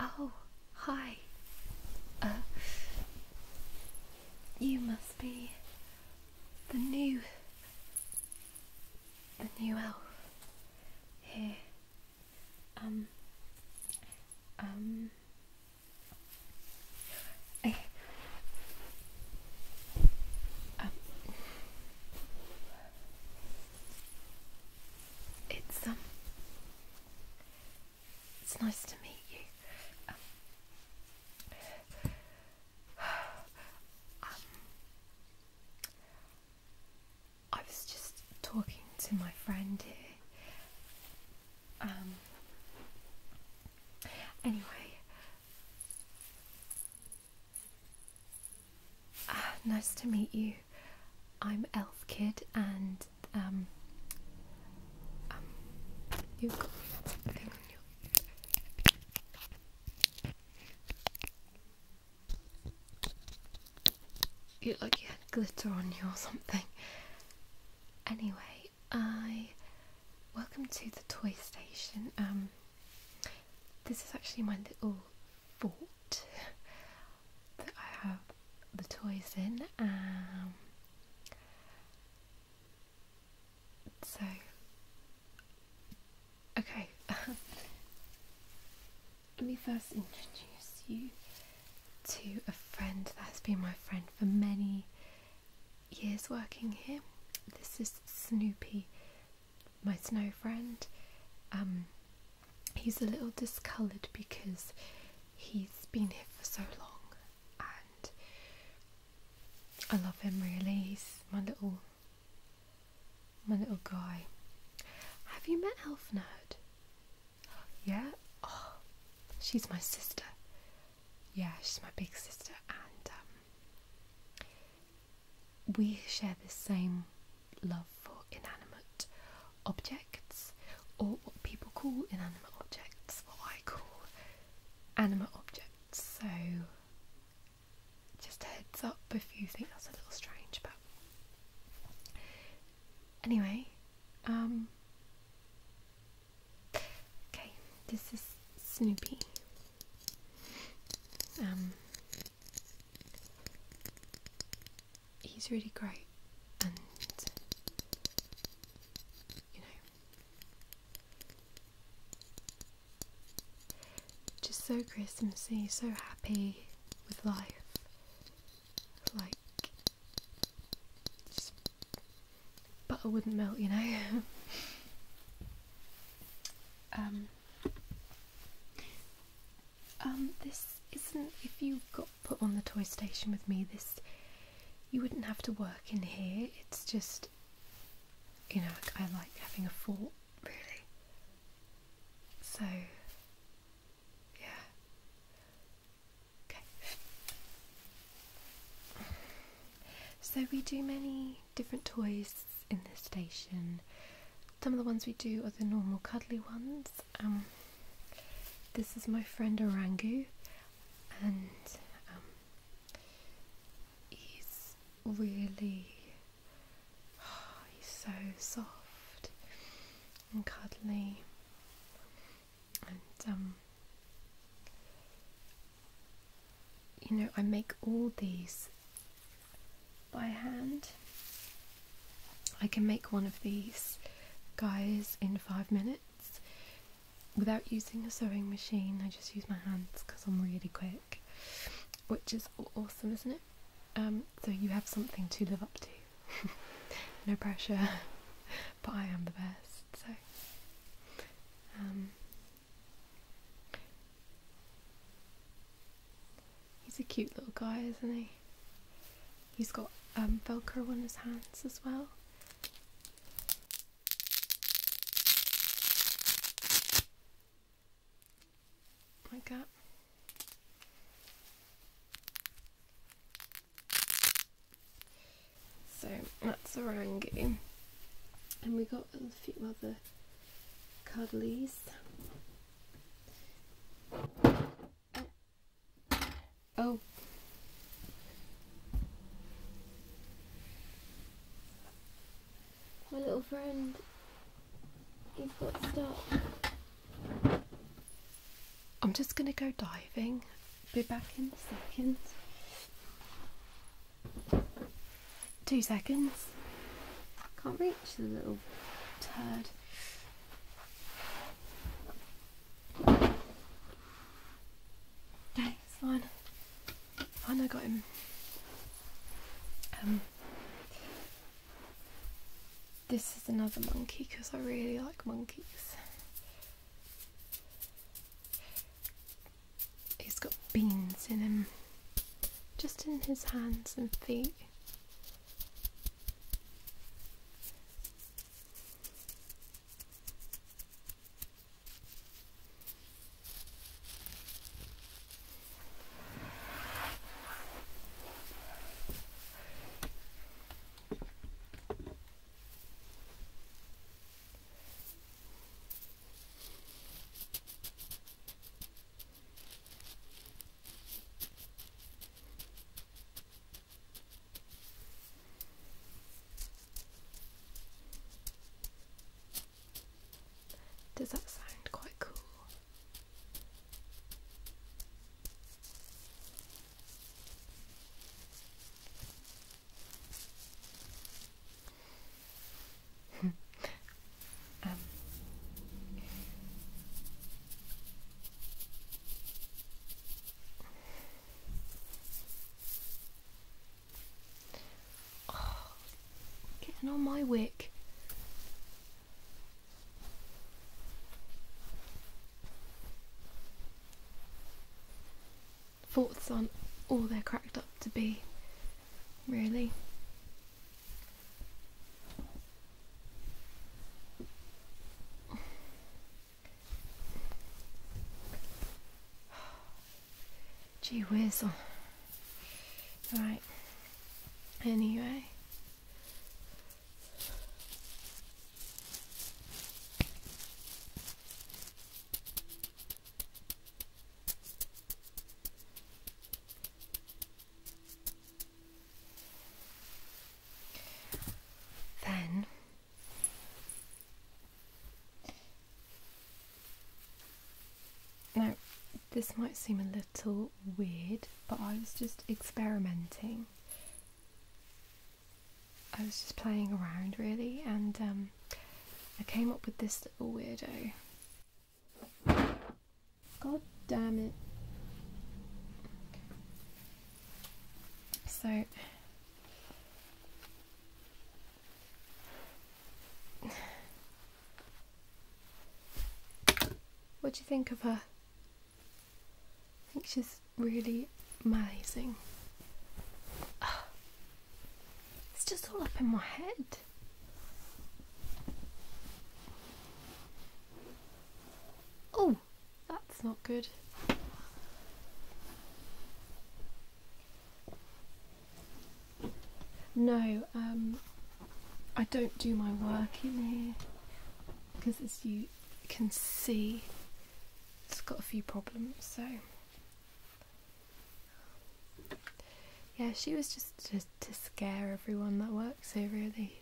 Oh, hi. Uh, you must be the new, the new elf here. Um, um, I, eh, um, it's um, it's nice to meet you. Um, um, I was just talking to my friend here. Um. Anyway, Ah, nice to meet you. I'm Elf Kid, and um, um you. You look like you had glitter on you or something. Anyway, I welcome to the toy station. Um, this is actually my little fort that I have the toys in. Um, so, okay, let me first introduce you to a friend that's been my friend for many years working here. This is Snoopy my snow friend. Um, he's a little discoloured because he's been here for so long, and I love him really. He's my little my little guy. Have you met Elf Nerd? Yeah. Oh, she's my sister. Yeah, she's my big sister, and um, we share the same love for inanimate objects, or what people call inanimate objects, what I call animate objects. So, just heads up if you think that's a little strange, but anyway, um, Okay, this is Snoopy. Um, he's really great, and you know, just so Christmassy, so happy with life, like butter wouldn't melt, you know. um, um, this isn't. If you got put on the toy station with me, this you wouldn't have to work in here. It's just, you know, I, like having a fort, really. So, yeah. Okay. So we do many different toys in this station. Some of the ones we do are the normal cuddly ones. Um, this is my friend Orangu, and um, he's really he's so soft and cuddly, and um, you know, I make all these by hand. I can make one of these guys in five minutes without using a sewing machine. I just use my hands because I'm really quick, which is awesome, isn't it? Um, so you have something to live up to. no pressure, but I am the best. So, um, He's a cute little guy, isn't he? He's got um, Velcro on his hands as well. Like that. So that's Orangu. And we got a few other cuddlies. Oh. oh. My little friend, you've got stuck. I'm just going to go diving. Be back in a second. Two seconds. Can't reach the little turd. Okay, it's fine. Fine, I got him. Um, this is another monkey because I really like monkeys. He's got beans in him, just in his hands and feet. Does that sound quite cool? Um, getting on my wick thoughts aren't all they're cracked up to be, really. Gee whiz. Right. Anyway. Then now, this might seem a little weird, but I was just experimenting I was just playing around really, and um, I came up with this little weirdo. God damn it. So, what do you think of her? I think she's really amazing. Oh, it's just all up in my head. Oh, that's not good. No, um, I don't do my work in here because as you can see it's got a few problems, so yeah, she was just to, scare everyone that works here, really.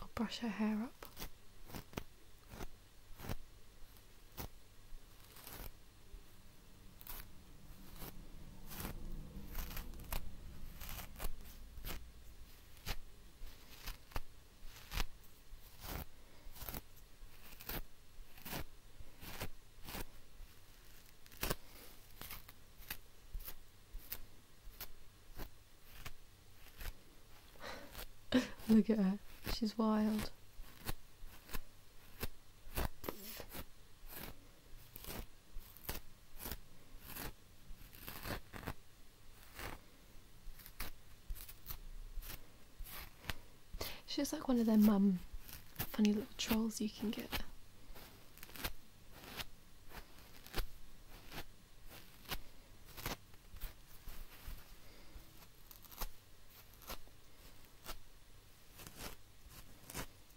I'll brush her hair up. Look at her. She's wild. She's like one of their um, funny little trolls you can get.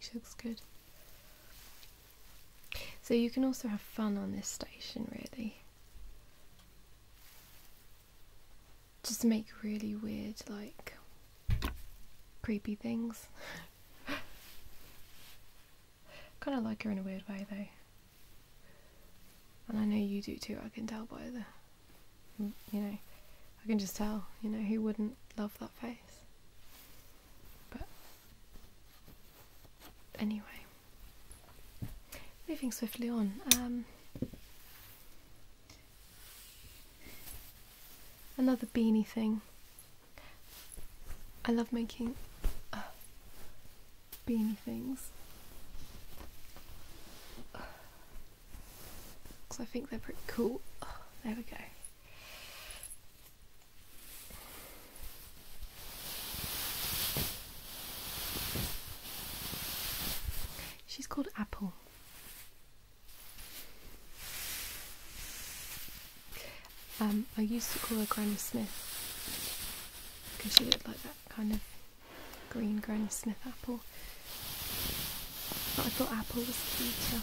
she looks good. So you can also have fun on this station, really. Just make really weird, like, creepy things. kind of like her in a weird way, though. And I know you do too, I can tell by the Mm, you know, I can just tell, you know, who wouldn't love that face? But anyway, moving swiftly on. Um, another beanie thing. I love making. Uh, beanie things. Because I think they're pretty cool. there we go. She's called Apple. Um, I used to call her Granny Smith because she looked like that kind of green Granny Smith apple. I thought apple was cuter.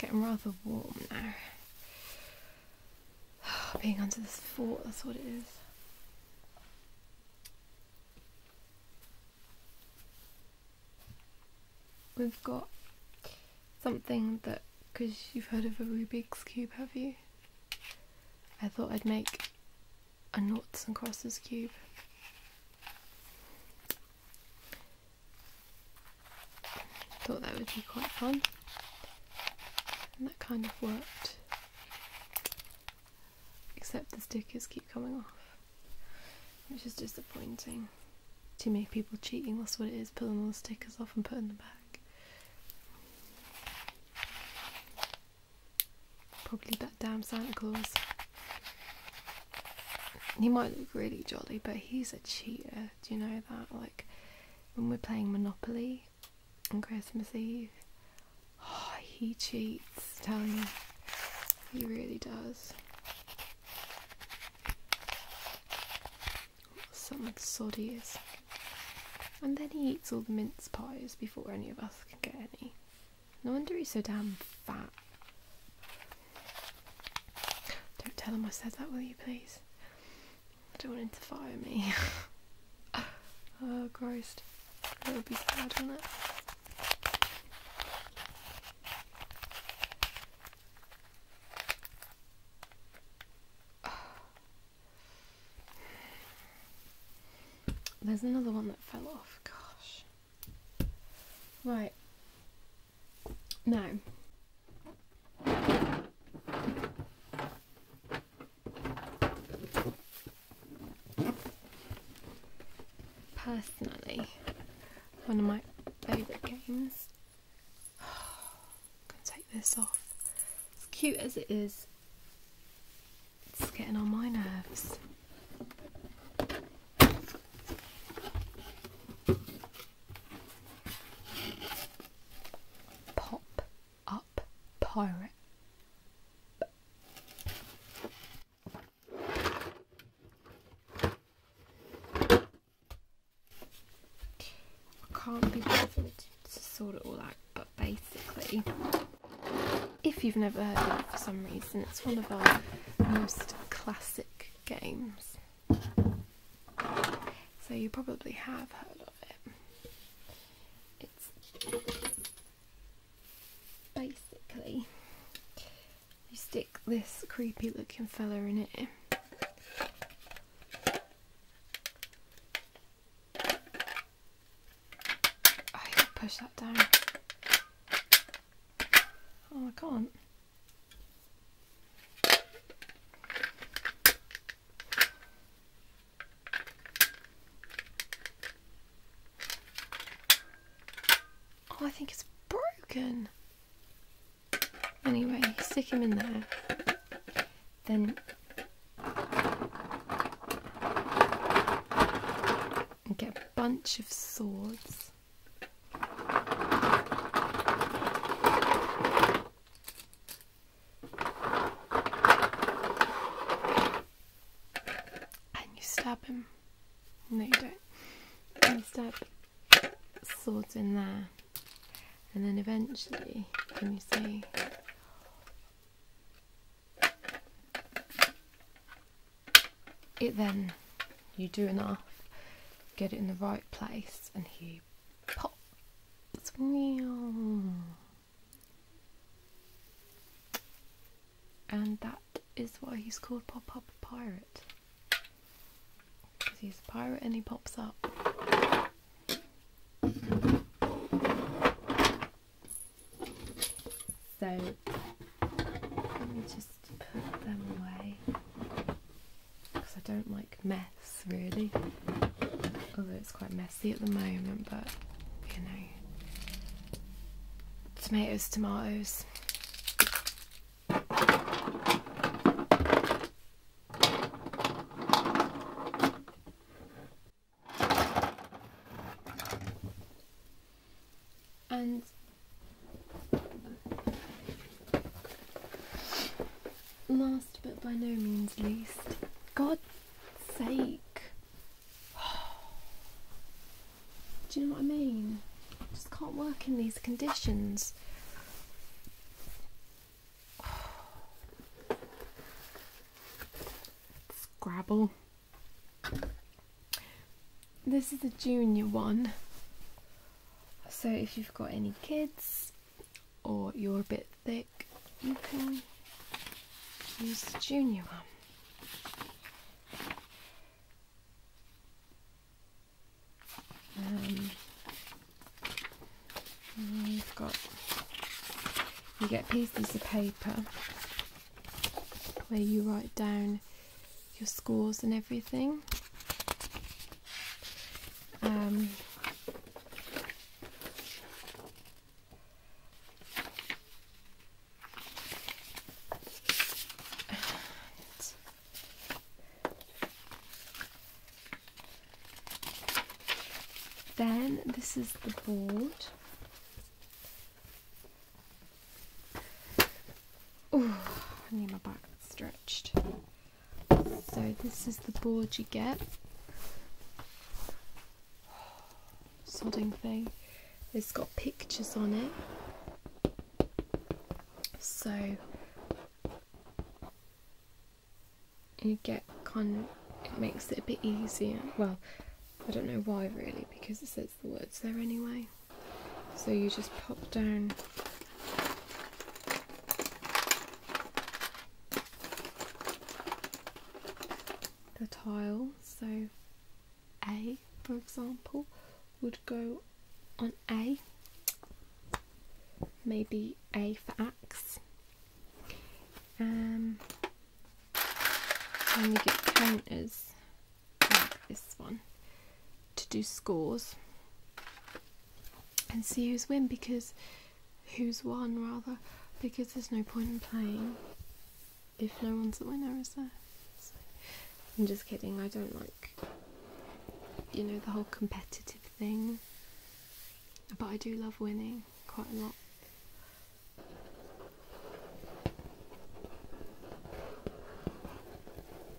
Getting rather warm now. Being under this fort, that's what it is. We've got something that, because you've heard of a Rubik's Cube, have you? I thought I'd make a noughts and crosses cube. Thought that would be quite fun. And that kind of worked. Except the stickers keep coming off, which is disappointing. Too many people cheating, that's what it is, pulling all the stickers off and putting them back. Probably that damn Santa Claus. He might look really jolly, but he's a cheater, do you know that? Like, when we're playing Monopoly on Christmas Eve. Oh, he cheats, tell you. He really does. Something like soddy is. And then he eats all the mince pies before any of us can get any. No wonder he's so damn fat. Don't tell him I said that, will you, please? I don't want him to fire me. oh Christ. That would be sad, wouldn't it? There's another one that fell off, gosh. Right. No. personally, one of my favourite games. i take this off. As cute as it is, it's getting on my nerves. Pop up pirate. can't be bothered to sort it all out but basically if you've never heard of it for some reason it's one of our most classic games so you probably have heard of it. It's basically you stick this creepy looking fella in it. I oh, push that down. Oh, I can't. Oh, I think it's broken. Anyway, stick him in there. Then get a bunch of swords. And you stab him. No, you don't. And you stab swords in there. And then eventually, can you see? It then you do enough, get it in the right place, and he pops. And that is why he's called Pop Up Pirate. Because he's a pirate and he pops up. So, let me just put them away because I don't like mess really. Although it's quite messy at the moment, but you know, tomatoes, tomatoes. And Last but by no means least, God's sake. Do you know what I mean? Just can't work in these conditions. Scrabble. This is the junior one. So if you've got any kids or you're a bit thick, you can use the junior one. Um, have got you get pieces of paper where you write down your scores and everything. Um, then this is the board Ooh, I need my back stretched. So this is the board you get. Sodding thing. It's got pictures on it. So you get kind of, it makes it a bit easier. Well, I don't know why really, because it says the words there anyway. So you just pop down the tile. So A, for example, would go on A. Maybe A for axe. Um, and you get counters this one to do scores and see who's win because who's won rather because there's no point in playing if no one's the winner is there I'm just kidding I don't like you know the whole competitive thing but I do love winning quite a lot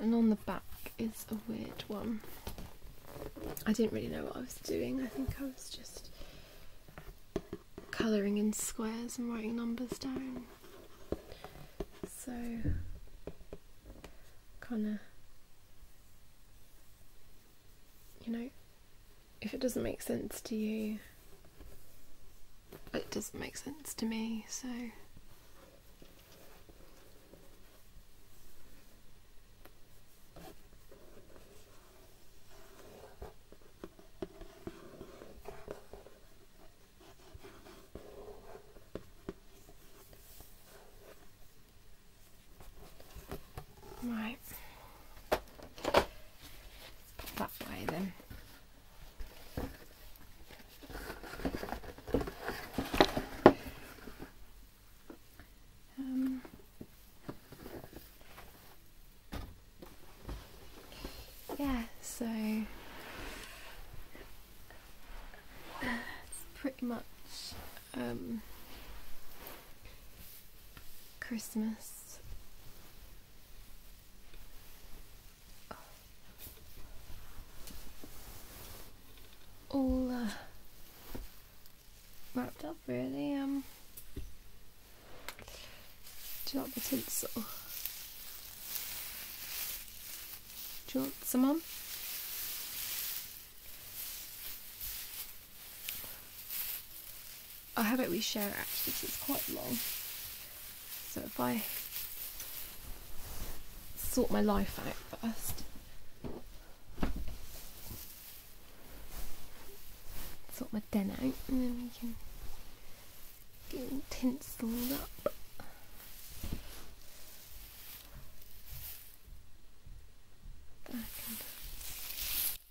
And on the back is a weird one. I didn't really know what I was doing. I think I was just colouring in squares and writing numbers down. So, kind of you know, if it doesn't make sense to you, it doesn't make sense to me, so. Right. That way then. Um, yeah, so that's pretty much um, Christmas Oh. All uh, wrapped up, really. Um, do you the tinsel? Oh. Do you want some on? I have it we share it actually it's quite long. So if I sort my life out first. Sort my den out and then we can get all tinseled up.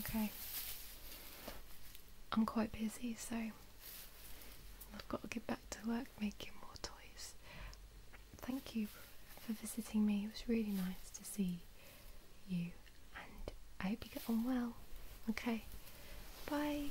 Okay. I'm quite busy, so I've got to get back to work making more toys. Thank you for visiting me. It was really nice to see you, and I hope you get on well. Okay. Bye.